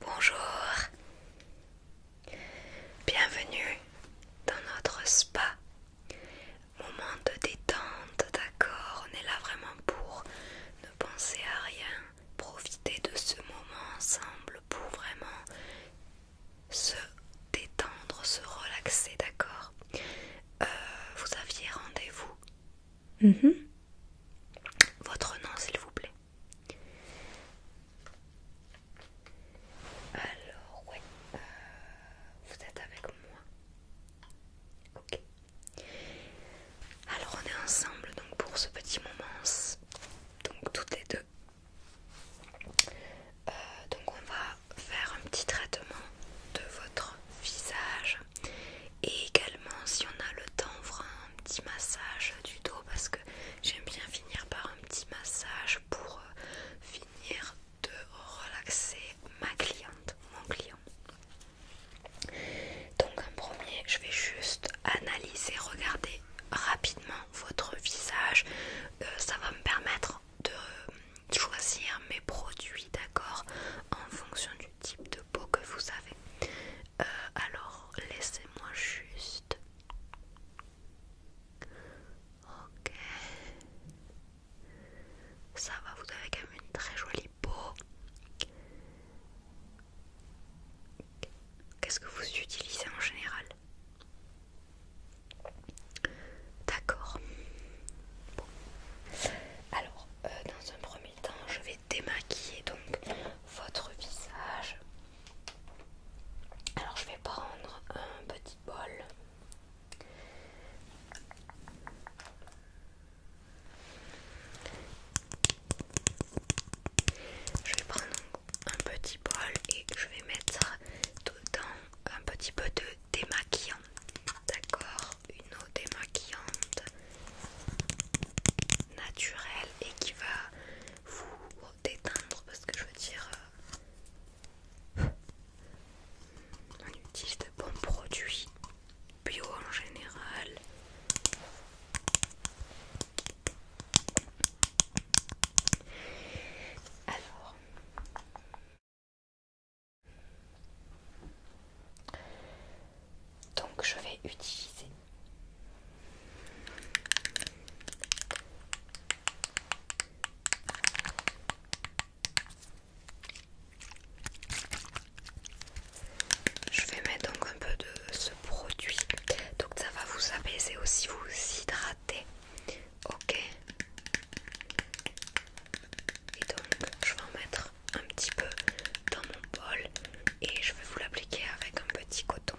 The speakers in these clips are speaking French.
Bonjour, bienvenue dans notre spa. Moment de détente, d'accord, on est là vraiment pour ne penser à rien, profiter de ce moment ensemble pour vraiment se détendre, se relaxer, d'accord. Euh, vous aviez rendez-vous Mhm. Votre nom, s'il vous plaît. Alors, oui, euh, vous êtes avec moi. Ok. Alors, on est ensemble donc pour ce petit moment. Donc, toutes les deux. Euh, donc, on va faire un petit traitement de votre visage et également si on a le temps on fera un petit massage du dos parce que j'aime bien finir par un petit massage pour euh, finir de relaxer ma cliente, mon client. Donc en premier je vais juste analyser, regarder rapidement votre visage, euh, ça va me permettre de choisir mes produits d'accord en fonction du type de peau que vous avez euh, alors laissez-moi juste. Ok. Ça va, vous avez quand même une très jolie peau. Qu'est-ce que vous utilisez en général D'accord. Bon. Alors, euh, dans un premier temps, je vais démaquiller donc votre visage. Alors je vais prendre un petit bol. Je vais prendre un petit bol et je vais mettre dedans un petit peu de démaquillant. D'accord une eau démaquillante naturelle et qui va vous déteindre parce que je veux dire euh, on utilise de bons produits bio en général alors donc je vais utiliser je vais mettre donc un peu de ce produit, donc ça va vous apaiser aussi, vous hydrater, ok Et donc je vais en mettre un petit peu dans mon bol et je vais vous l'appliquer avec un petit coton.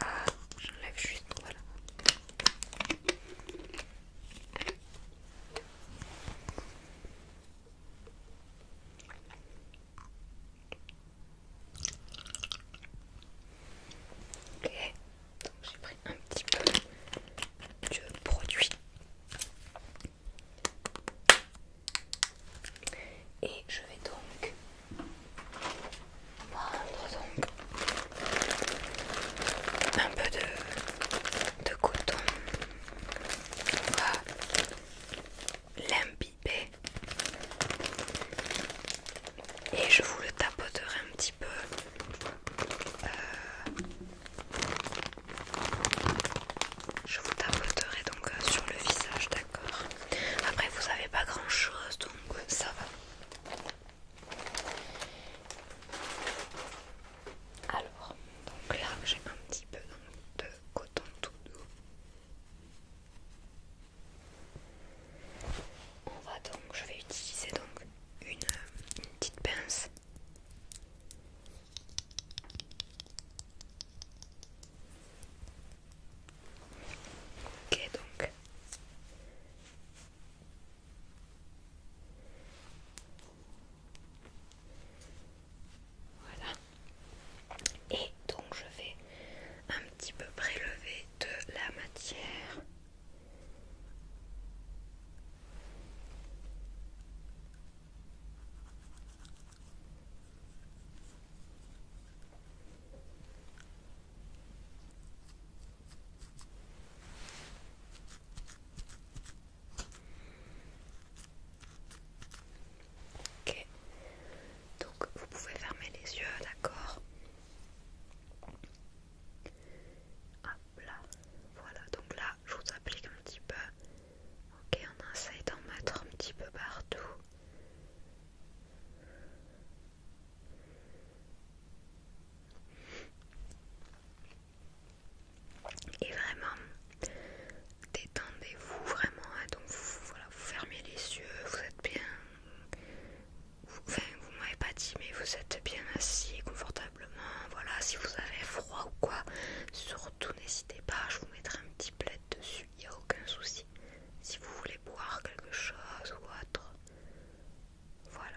Ah, j'enlève juste, voilà. Ok, donc j'ai pris un petit peu de produit et je vais donc prendre un peu de, de coton. On va l'imbiber. Et je vous le tapoterai un petit peu euh, je vous tapoterai donc euh, sur le visage, d'accord Après, vous n'avez pas grand chose donc euh, ça va. Alors, donc là j'ai un petit peu de coton tout doux. On va donc, je vais utiliser donc une petite pince Ok donc. Voilà. Et donc je vais un petit peu prélever de la matière. Ok, donc vous pouvez fermer les yeux, d'accord Hop là, voilà, donc là je vous applique un petit peu Ok, on essaye d'en mettre un petit peu partout. Et vraiment, détendez-vous vraiment. Hein. donc vous, voilà, vous fermez les yeux, vous êtes bien. Vous, vous m'avez pas dit, mais vous êtes bien assis confortablement. Voilà, si vous avez froid ou quoi, sur tout n'hésitez pas, je vous mettrai un petit plaid dessus, il n'y a aucun souci. Si vous voulez boire quelque chose ou autre, voilà.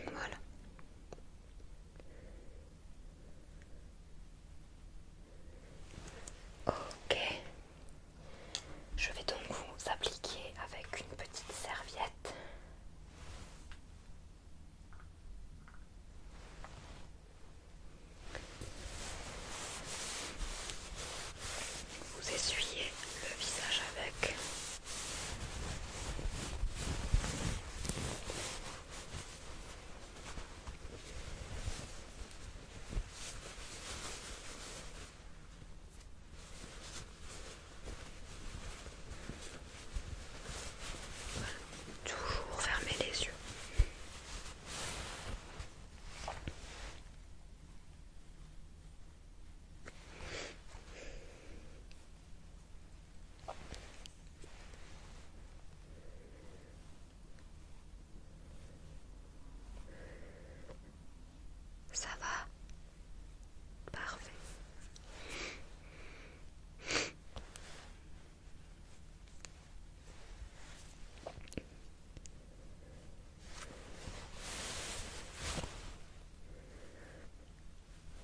Voilà. Ok. Je vais donc vous appliquer avec une petite serviette. Vous essuyez le visage avec. Toujours fermer les yeux. Ça va Parfait.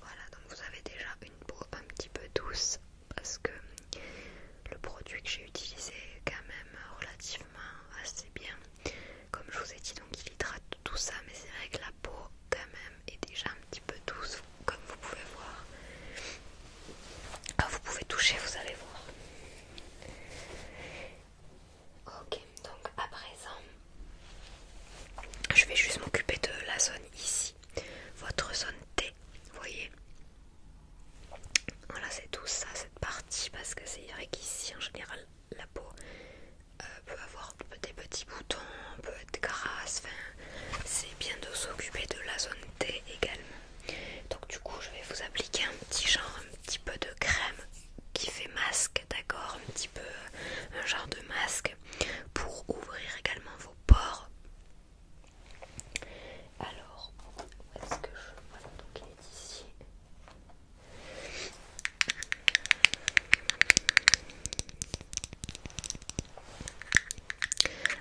Voilà, donc vous avez déjà une peau un petit peu douce parce que le produit que j'ai utilisé est quand même relativement assez bien. Comme je vous ai dit, donc il hydrate tout ça, mais c'est vrai que la peau quand même est déjà un petit peu douce, comme vous pouvez voir. Ah, vous pouvez toucher, vous allez voir. Ok, donc à présent, je vais juste m'occuper de la zone ici votre zone vous voyez. Voilà, c'est tout ça, cette partie, parce que c'est vrai qu'ici en général la peau euh, peut avoir des petits boutons, peut être grasse, c'est bien de s'occuper de la zone T également. Donc du coup, je vais vous appliquer un petit genre, un petit peu de crème qui fait masque, d'accord, un petit peu un genre de masque pour ouvrir également alors, où est-ce que je... donc il est ici.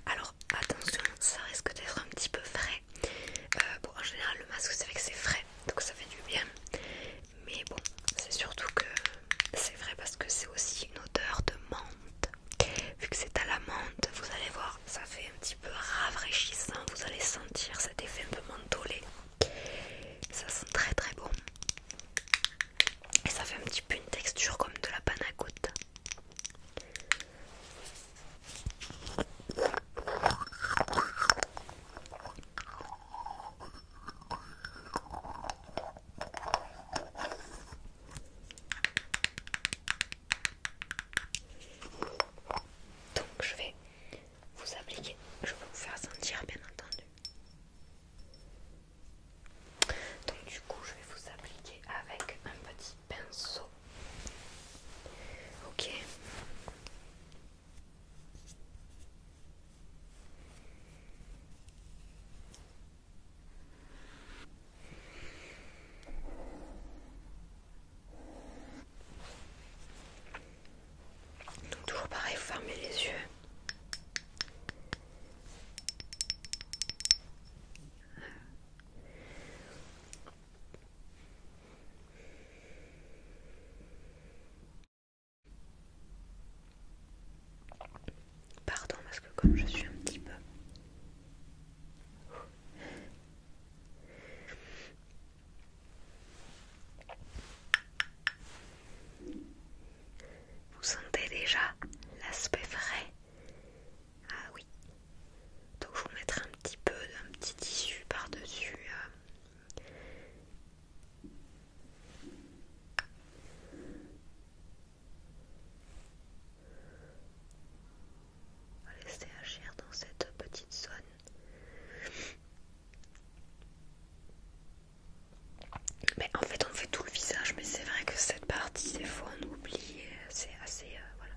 Alors attention, ça risque d'être un petit peu frais. Euh, bon, en général, le masque, c'est vrai que c'est frais, donc ça fait du bien. Mais bon, c'est surtout que c'est vrai parce que c'est aussi une odeur de menthe. Vu que c'est à la menthe, vous allez voir, ça fait un petit peu rafraîchissant. Vous allez sentir cet effet un peu mentholé. Ça sent très très bon. Et ça fait un petit peu une texture comme de la panna cotta. Donc je vais vous appliquer, je vais vous faire sentir bien entendu. Donc du coup je vais vous appliquer avec un petit pinceau. Ok. Donc toujours pareil, vous fermez les yeux. Pardon parce que comme je suis un petit peu... Vous sentez déjà l'aspect frais Ah oui. Donc je vous mettre un petit peu d'un petit tissu par-dessus. Euh laisser agir dans cette petite zone. Mais en fait, on fait tout le visage, mais c'est vrai que cette partie, c'est fois, on oublie. Euh, c'est assez. Euh, voilà.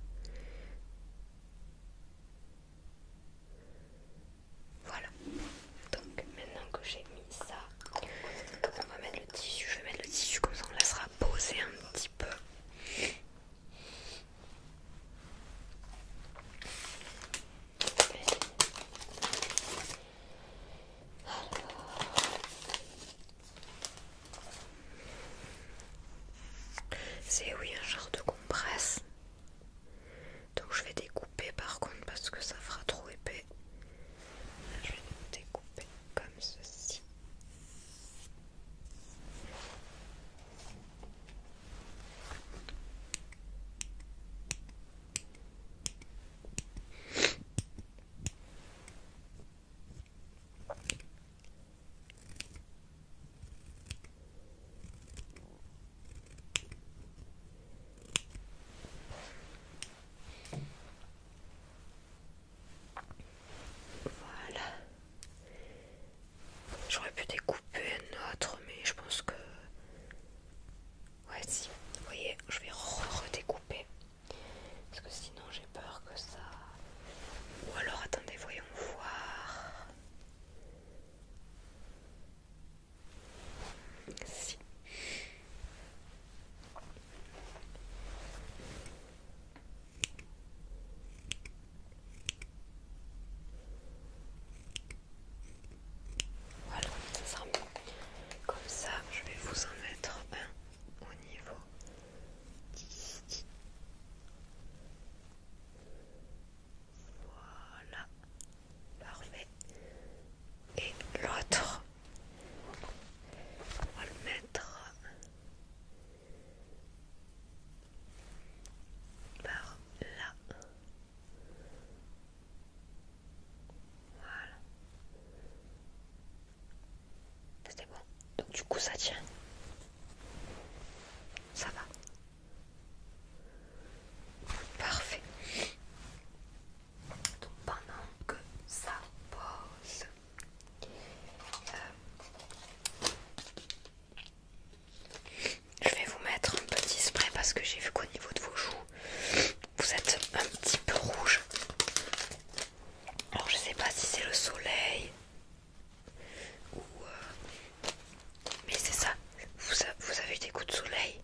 Voilà. Donc, maintenant que j'ai mis ça. On va mettre le tissu, je vais mettre le tissu comme ça on laissera poser un petit peu. C'est oui un genre de compresse. Donc je vais découper par contre parce que ça fera trop épais. je vais découper comme ceci. Voilà. J'aurais pu découper un autre, mais je pense que... Ouais, si. Vous voyez, je vais redécouper. Parce que sinon, j'ai peur que ça... Ou alors, attendez, voyons voir. Si. Voilà, Comme ça, je vais vous en mettre un au niveau Voilà, parfait et l'autre. On va le mettre par là. Voilà. C'était bon. Donc du coup ça tient. Ça va. Parfait. Donc pendant que ça pose, euh, je vais vous mettre un petit spray parce que j'ai vu qu'au niveau de vos joues, vous êtes un petit peu rouge. Alors je sais pas si c'est le soleil ou... Euh, mais c'est ça, vous, vous avez eu des coups de soleil.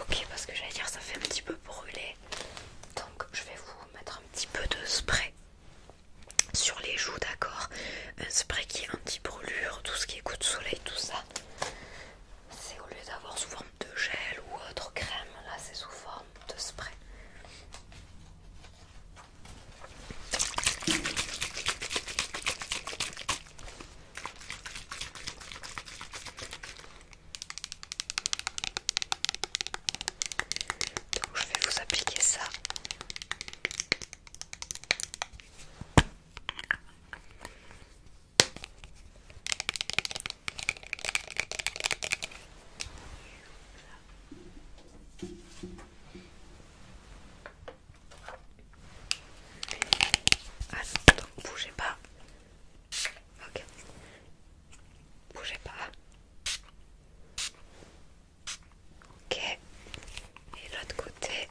Ok, parce que j'allais dire ça fait un petit peu brûler. Donc je vais vous mettre un petit peu de spray sur les joues, d'accord Un spray qui est anti-brûlure, tout ce qui est coup de soleil, tout ça. C'est au lieu d'avoir sous forme de gel ou autre crème, là c'est sous forme de spray. Donc je vais vous appliquer ça. Attends, bougez pas, Ok. Bougez pas. Ok. Et l'autre côté.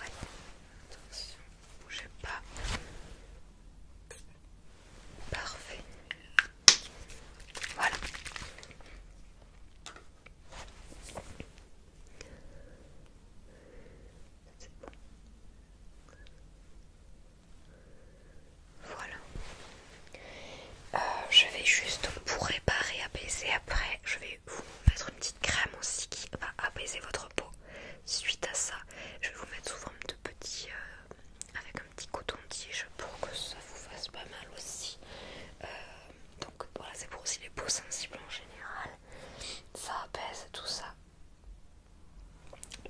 oui, Attention, bougez pas. Parfait. Voilà. Voilà. Euh, je vais juste pour réparer, apaiser après, je vais vous mettre une petite crème aussi qui va apaiser votre peau. Suite à ça, je vais vous mettre souvent de petit euh, avec un petit coton-tige pour que ça vous fasse pas mal aussi. Euh, donc voilà, c'est pour aussi les peaux sensibles en général ça apaise tout ça.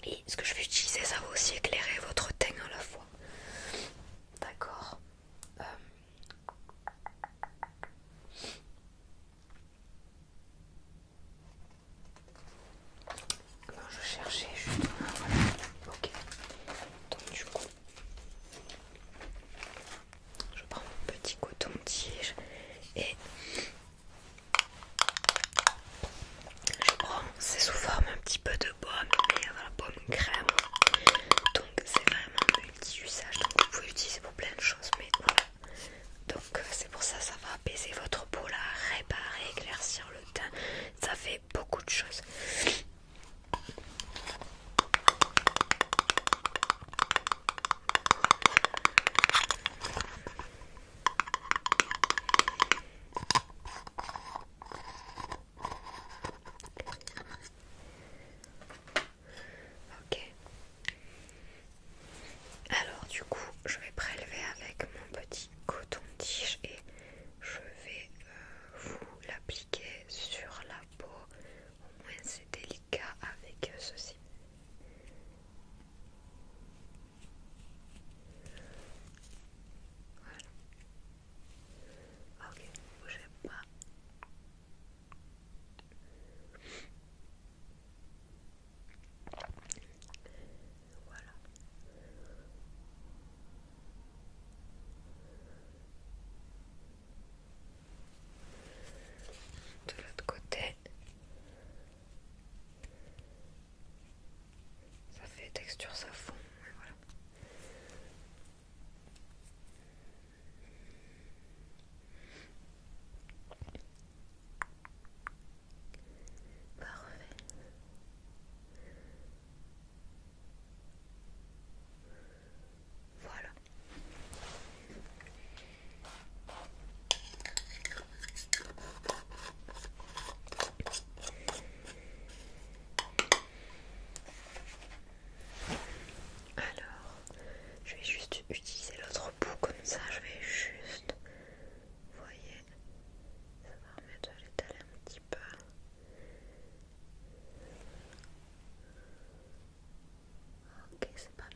Et ce que je vais utiliser, ça va aussi éclairer votre teint à la fois. D'accord euh. je cherchais juste Ok. Donc du coup, je prends mon petit coton-tige et je prends, c'est sous forme un petit peu de pomme mais voilà, crème. Donc c'est vraiment multi-usage, donc vous pouvez l'utiliser pour plein de choses, mais voilà. Donc c'est pour ça, ça va apaiser votre peau, la réparer, éclaircir le teint, ça fait beaucoup de choses. Alors du coup, je vais prélever avec mon petit coton-tige et je vais euh, vous l'appliquer sur la peau. Au moins c'est délicat avec ceci. Ok, ne bougez pas. Voilà de l'autre côté ça fait texture ça fond voilà Parfait. Voilà. Alors, je vais juste utiliser l'autre bout comme ça, je vais juste, vous voyez, ça va remettre à l'étaler un petit peu. Ok, c'est pas mal.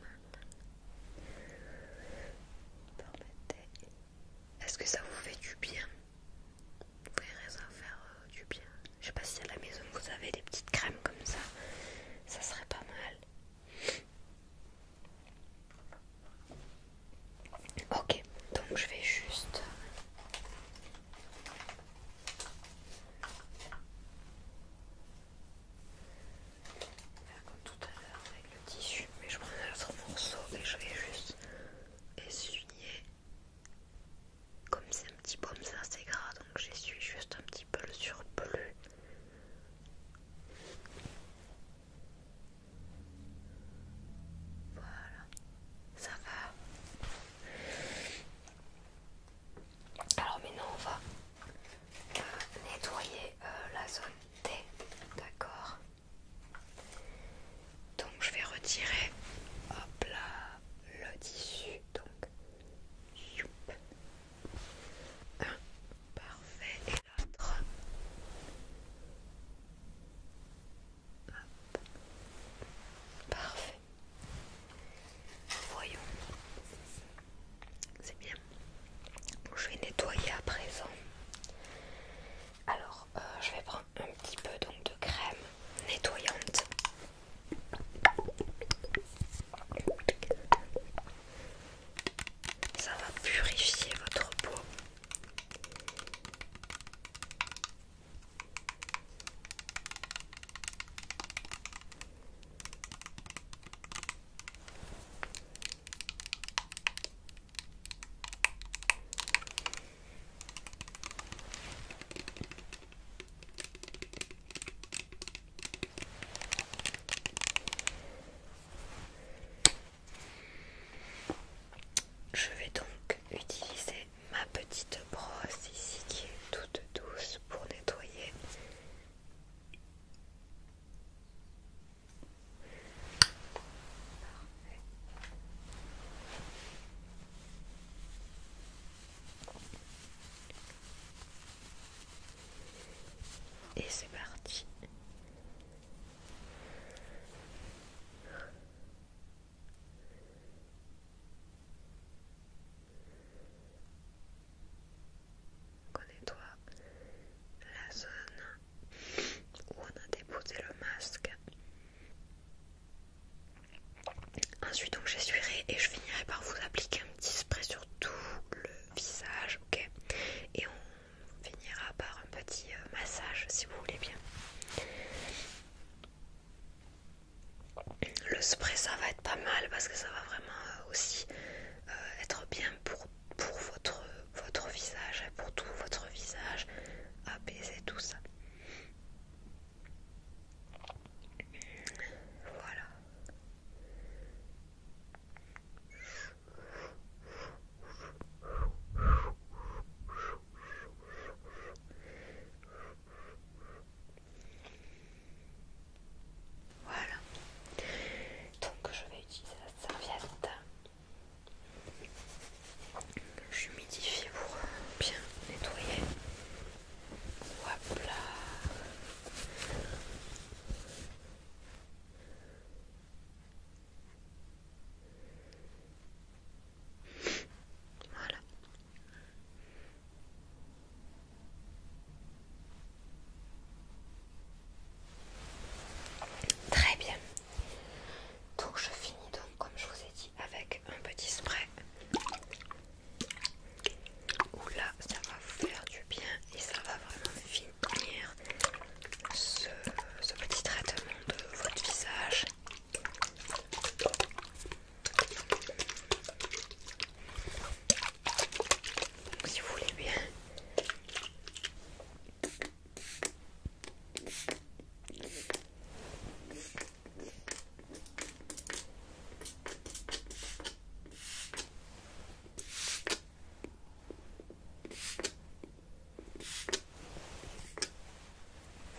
Est-ce que ça vous fait du bien Vous verrez ça faire euh, du bien. Je sais pas si à la maison vous avez des petites crèmes comme ça. Ça serait pas mal. Ok, donc je vais juste... Euh, comme tout à l'heure avec le tissu, mais je prends un autre morceau et je vais juste essuyer comme c'est un petit peu comme ça, c'est gras donc j'essuie juste un petit peu le surplus. Voilà, ça va. Alors maintenant on va nettoyer euh, la zone T, d'accord Donc je vais retirer, hop là, le tissu, donc, youp. parfait, et l'autre, parfait. Voyons. C'est bien. je vais nettoyer à présent. Alors, euh, je vais prendre un petit peu donc, de crème nettoyante. Ça va purifier votre peau. Je vais donc utiliser ma petite brosse ici qui est toute douce pour nettoyer et c'est parti. Connais-toi la zone où on a déposé le masque. Ensuite, donc j'essuierai et je finirai par vous appliquer un petit spray sur tout le visage, ok Et on finira par un petit euh, massage si vous voulez bien. Le spray ça va être pas mal parce que ça va vraiment euh, aussi euh, être bien pour pour votre, votre visage, pour tout votre visage, apaiser tout ça. Voilà. Voilà. Donc je vais utiliser la serviette. J'humidifie pour bien nettoyer. Hop là. Voilà. Très bien. Donc je finis donc comme je vous ai dit avec un petit spray. Oula ça va vous faire du bien et ça va vraiment finir ce, ce petit traitement de votre visage. Donc, si vous voulez bien.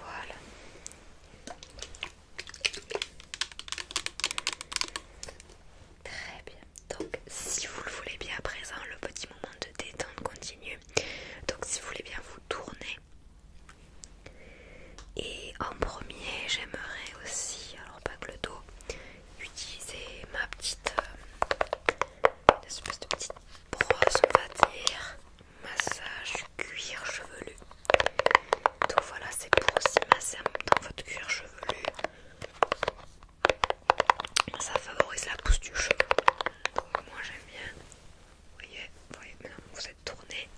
Voilà. Très bien. Donc si vous le voulez bien à présent, le petit moment de détente continue. Donc si vous voulez bien vous tourner. Et en premier, j'aimerais aussi, alors pas que le dos, utiliser ma petite, euh, espèce de petite brosse, on va dire, massage cuir chevelu. Donc voilà, c'est pour aussi masser en même temps votre cuir chevelu ça favorise la pousse du cheveu. moi j'aime bien. voyez, voyez, maintenant vous êtes tourné.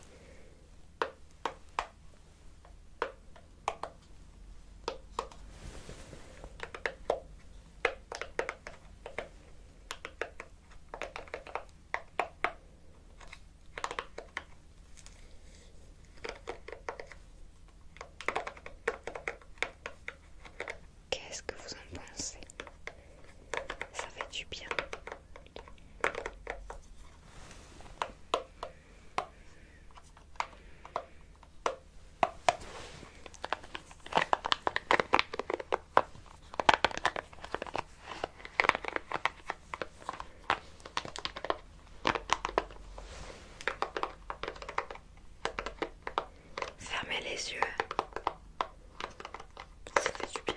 Qu'est-ce que vous en pensez Ça fait du bien. Fermez les yeux. Ça fait du bien.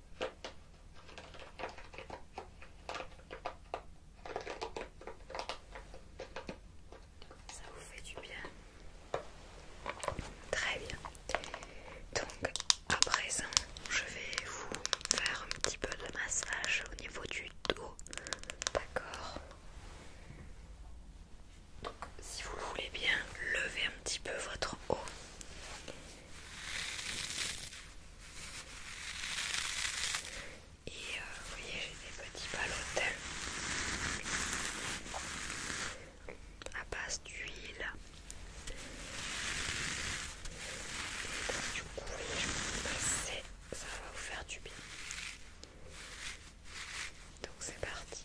Ça vous fait du bien. Très bien. Donc à présent, je vais vous faire un petit peu de massage au niveau du dos. D'accord. Donc si vous voulez bien, levez un petit peu votre haut. Et euh, vous voyez, j'ai des petits balotels à base d'huile. Du coup, vous voyez, je vous passer, ça va vous faire du bien. Donc c'est parti.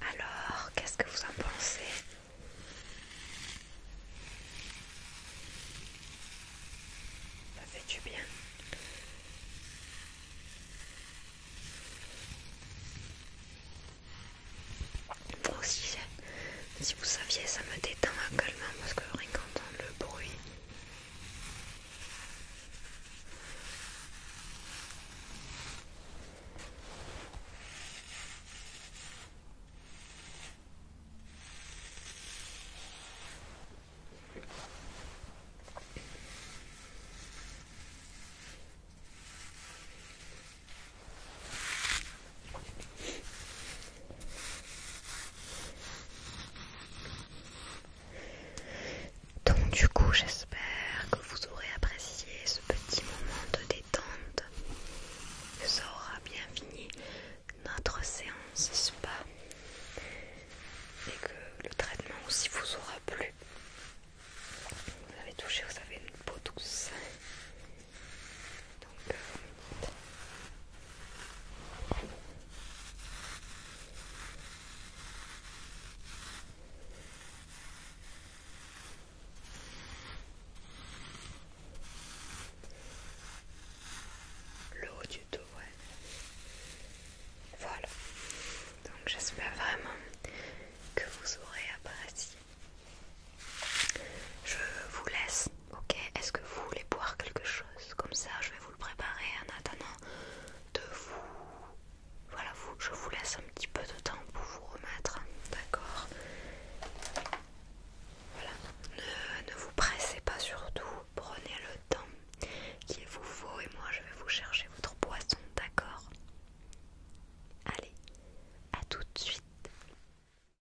Alors, qu'est-ce que vous en pensez Ça fait du bien si vous saviez, ça me détend également parce que rien qu'entendre le bruit. Donc du coup j'espère que vous aurez apprécié ce petit moment de détente, que ça aura bien fini notre séance spa et que le traitement aussi vous aura plu. Vous avez touché, vous avez une peau douce donc, le haut du dos, Voilà. Donc j'espère vraiment que vous aurez apprécié je vous laisse, ok Est-ce que vous voulez boire quelque chose Comme ça, je vais vous le préparer en attendant de vous... Voilà, je vous laisse un petit peu de temps pour vous remettre, d'accord Voilà, ne, vous pressez pas surtout, prenez le temps est vous faut et moi je vais vous chercher votre boisson, d'accord Allez, à tout de suite